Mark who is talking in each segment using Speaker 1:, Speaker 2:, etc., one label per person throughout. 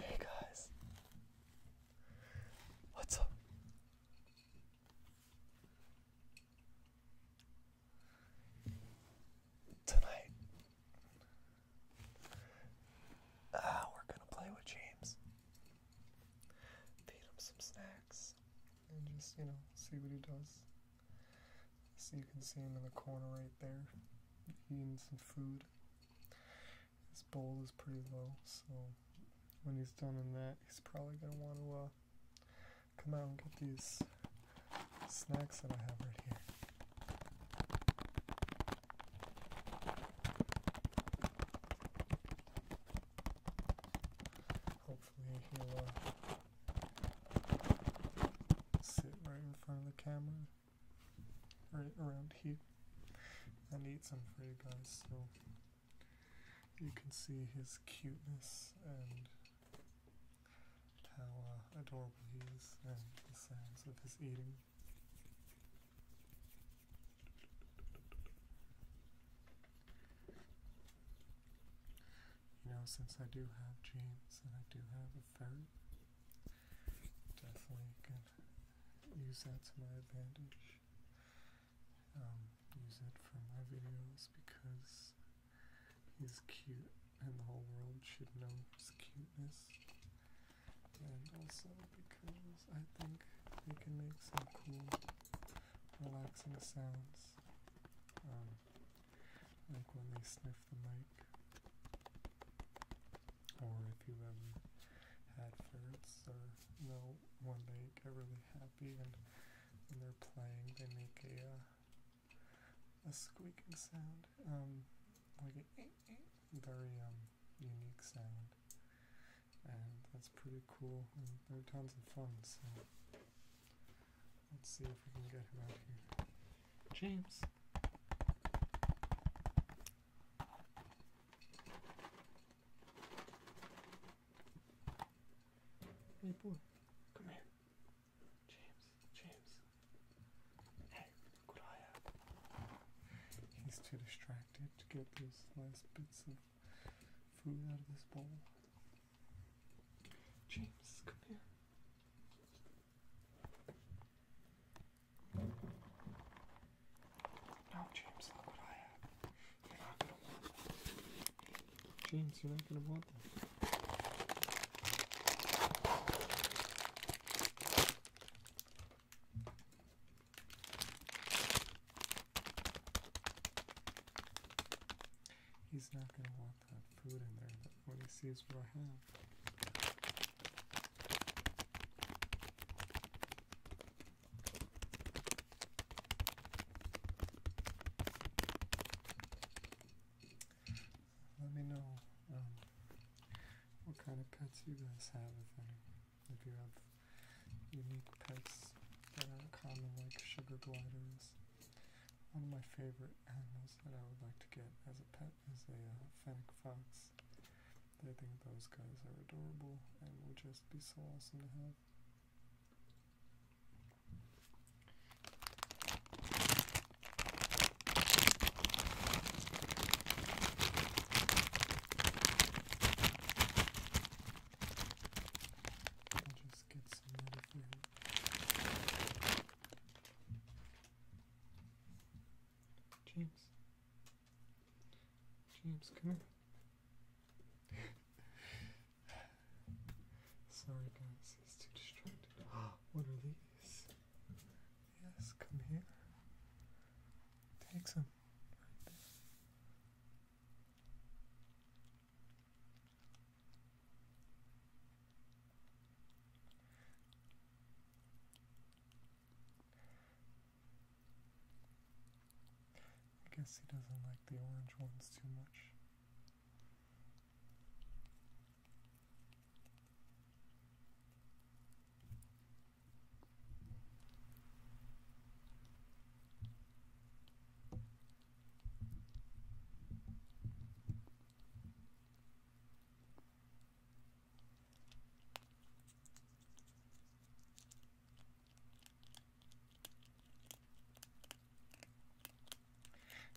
Speaker 1: Hey guys, what's up? Tonight, uh, we're gonna play with James. Feed him some snacks and just, you know, see what he does. So you can see him in the corner right there, eating some food. His bowl is pretty low, so when he's done in that, he's probably going to want to uh, come out and get these snacks that I have right here. Hopefully he'll uh, sit right in front of the camera, right around here, and eat some for you guys so you can see his cuteness and how uh, adorable he is and the sounds of his eating you know, since I do have jeans and I do have a ferret, definitely can use that to my advantage. Um, use it for my videos because he's cute and the whole world should know his cuteness. And also because I think they can make some cool, relaxing sounds. Um, like when they sniff the mic. Or if you ever had ferrets, or you know, when they get really happy and when they're playing, they make a uh, a squeaking sound, um, like a eh, eh, very um unique sound, and that's pretty cool. And they're tons of fun. Let's see if we can get him out here. James. Hey boy, come here. James, James. Hey, Goliath. He's too distracted to get those last bits of food out of this bowl. James, come here. No, James, look what I have. You're not gonna want that. James, you're not gonna want that. He's not gonna want what Let me know um, what kind of pets you guys have, if any. If you have unique pets that aren't common, like sugar gliders. One of my favorite animals that I would like to get as a pet is a uh, fennec fox. I think those guys are adorable and would just be so awesome to have. Let's get some ready for him. James. James, come here. Sorry guys, he's too distracted. what are these? Yes, come here. Take some. I guess he doesn't like the orange ones too much.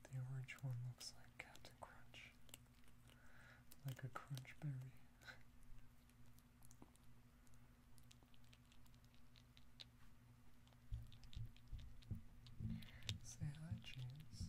Speaker 1: The orange one looks like Captain Crunch, like a crunch berry. Say hi, James.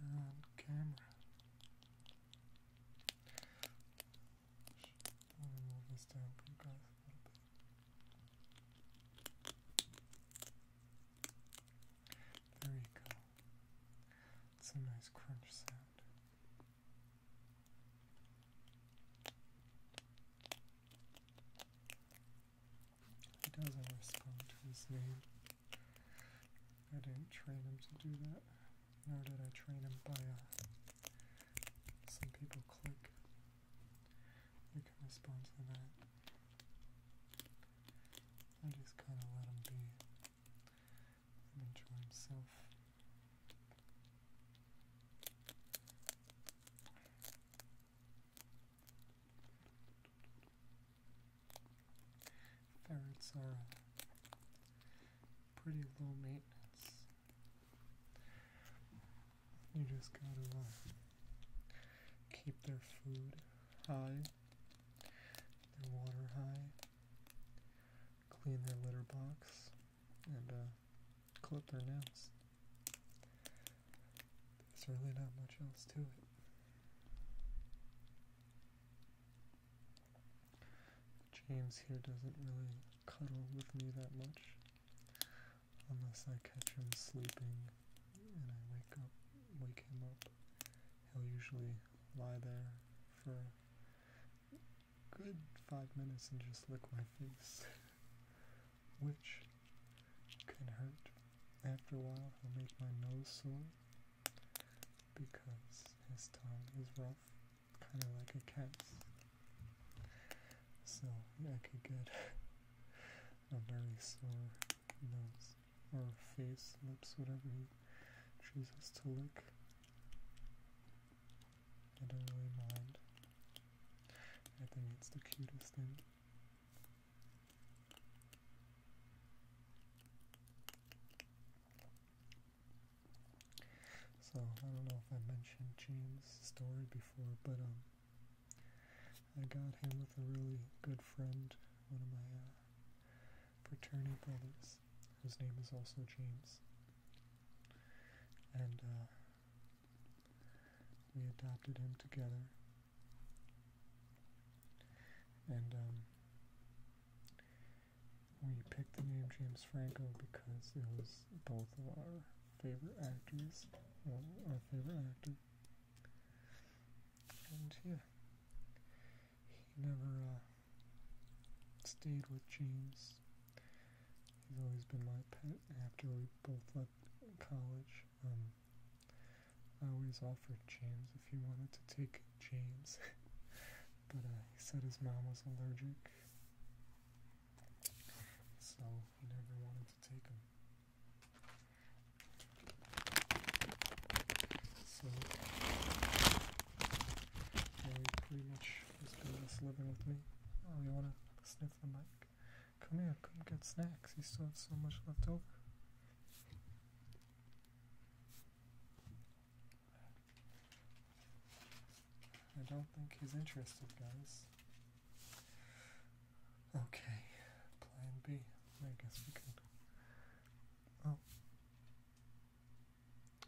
Speaker 1: You're on camera. Let me move this down for you guys There you go. It's a nice crunch sound. He doesn't respond to his name. I didn't train him to do that, nor did I train him by uh, some people click. You can respond to that. I just kind of let him be and enjoy himself. Ferrets are pretty low maintenance. You just gotta uh, keep their food high, their water high, clean their litter box and uh, clip their nails. There's really not much else to it. James here doesn't really cuddle with me that much unless I catch him sleeping and I wake up wake him up. He'll usually lie there for good five minutes and just lick my face. which can hurt after a while. He'll make my nose sore because his tongue is rough, kind of like a cat's. So I could get a very sore nose or face, lips, whatever he chooses to lick. I don't really mind. I think it's the cutest thing. So I don't know if I mentioned James' story before, but um, I got him with a really good friend, one of my uh, fraternity brothers, whose name is also James, and uh, we adopted him together. And um, we picked the name James Franco because it was both of our favorite actors, well, our favorite actor. And yeah, he never uh, stayed with James. He's always been my pet after we both left college, um, I always offered James if he wanted to take James, but uh, he said his mom was allergic, so he never wanted to take him. So well, pretty much has been living with me. Oh, you wanna sniff the mic? Come here, come get snacks. He still has so much left over. I don't think he's interested, guys. Okay, plan B. I guess we can. Oh.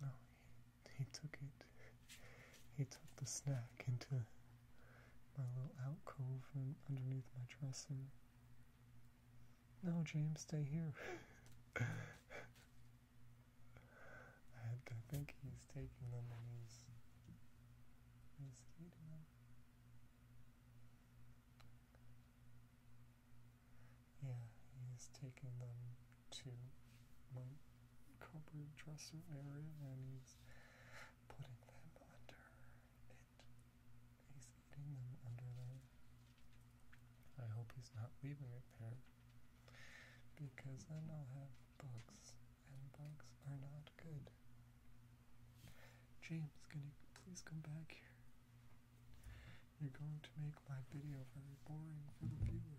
Speaker 1: Oh, he took it. He took the snack into my little alcove underneath my dresser. No, James, stay here. I think he's taking them and he's, he's eating them. Yeah, he's taking them to my cupboard dresser area and he's putting them under it. He's eating them under there. I hope he's not leaving it there because then I'll have bugs and bugs are not good. James, can you please come back here? You're going to make my video very boring for the viewers.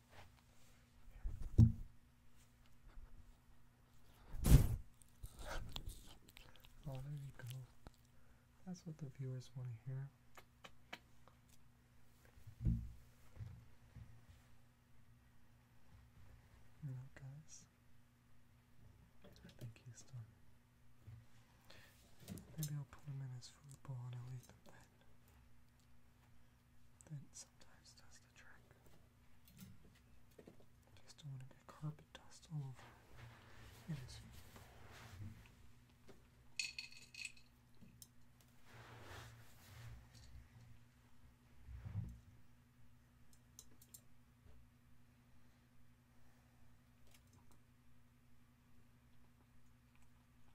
Speaker 1: Oh, there you go. That's what the viewers want to hear. You know, guys, I think he's done. Maybe I'll put him in his food bowl and I'll then that sometimes does the trick. Just don't want to get carpet dust all over it is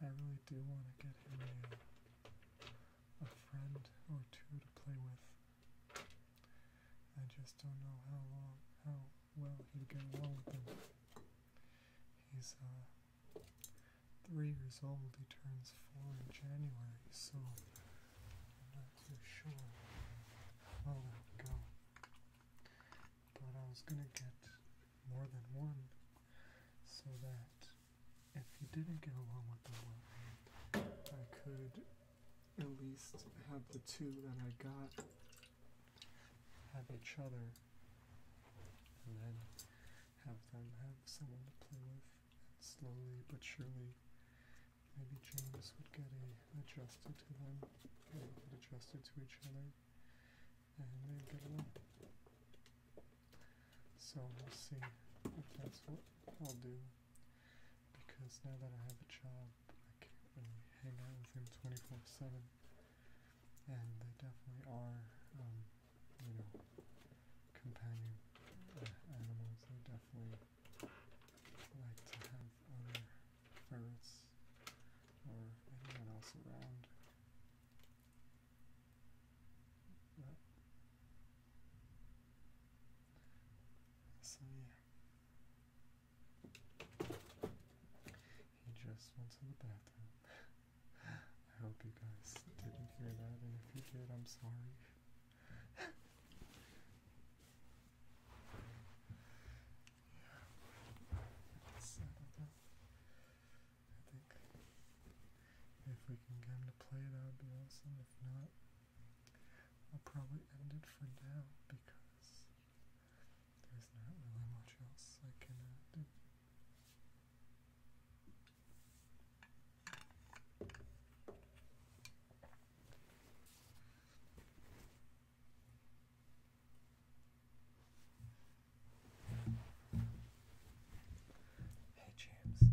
Speaker 1: I really do want to get him a, friend or two to play with. I just don't know how long, how well he'd get along with them. He's uh, three years old. He turns four in January, so I'm not too sure how oh, that would go. But I was gonna get more than one, so that if he didn't get along with the one, I could at least have the two that I got have each other, and then have them have someone to play with, and slowly but surely, maybe James would get a, adjusted to them, they get adjusted to each other, and they'd get along. So we'll see if that's what I'll do, because now that I have a job, I can't really hang out with him 24-7 and they definitely are, um, you know, companion uh, animals. They definitely like to have other ferrets or anyone else around. so yeah, he just went to the bathroom. I hope you guys didn't hear that, and if you did, I'm sorry. yeah. I think if we can get him to play, that would be awesome. If not, I'll probably end it for now because there's not really much else I can uh, do. Hey, James.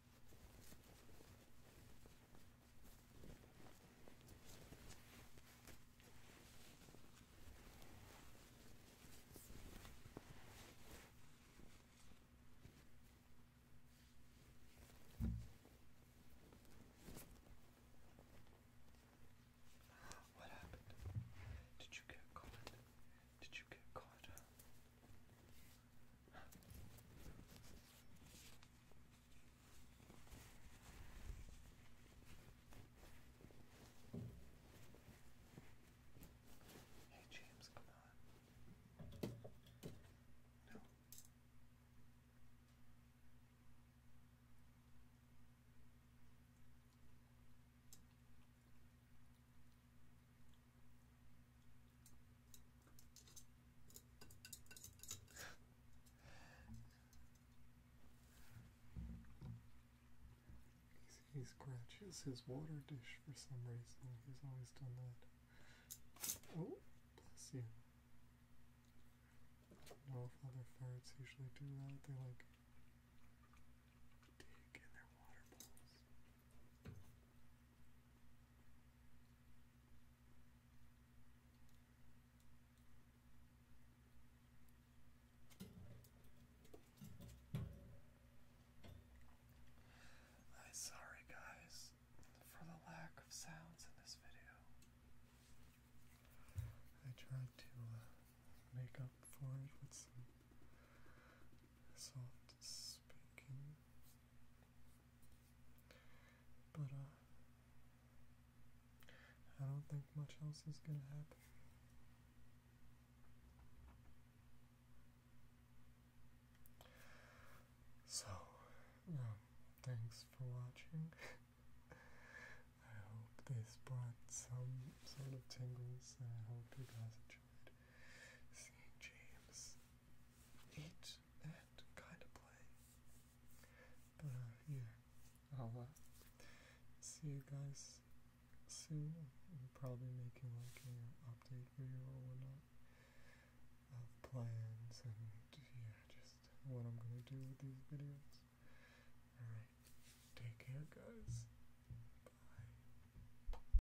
Speaker 1: What happened? Did you get caught? Did you get caught? Huh? Hey, James, come on. No he scratches his water dish for some reason. He's always done that. Oh, bless you. I know ferrets usually do that. They like dig in their water bowls. I'm sorry, guys, for the lack of sounds in this video. I tried to uh, make up for it with some soft speaking. But, uh, I don't think much else is gonna happen. So, thanks for watching. I hope this brought some sort of tingles, I hope you guys enjoyed seeing James eat and kind of play. But yeah, I'll uh, see you guys soon. probably making like an update video or whatnot of plans and yeah, just what I'm gonna do with these videos. Alright, take care, guys. Bye.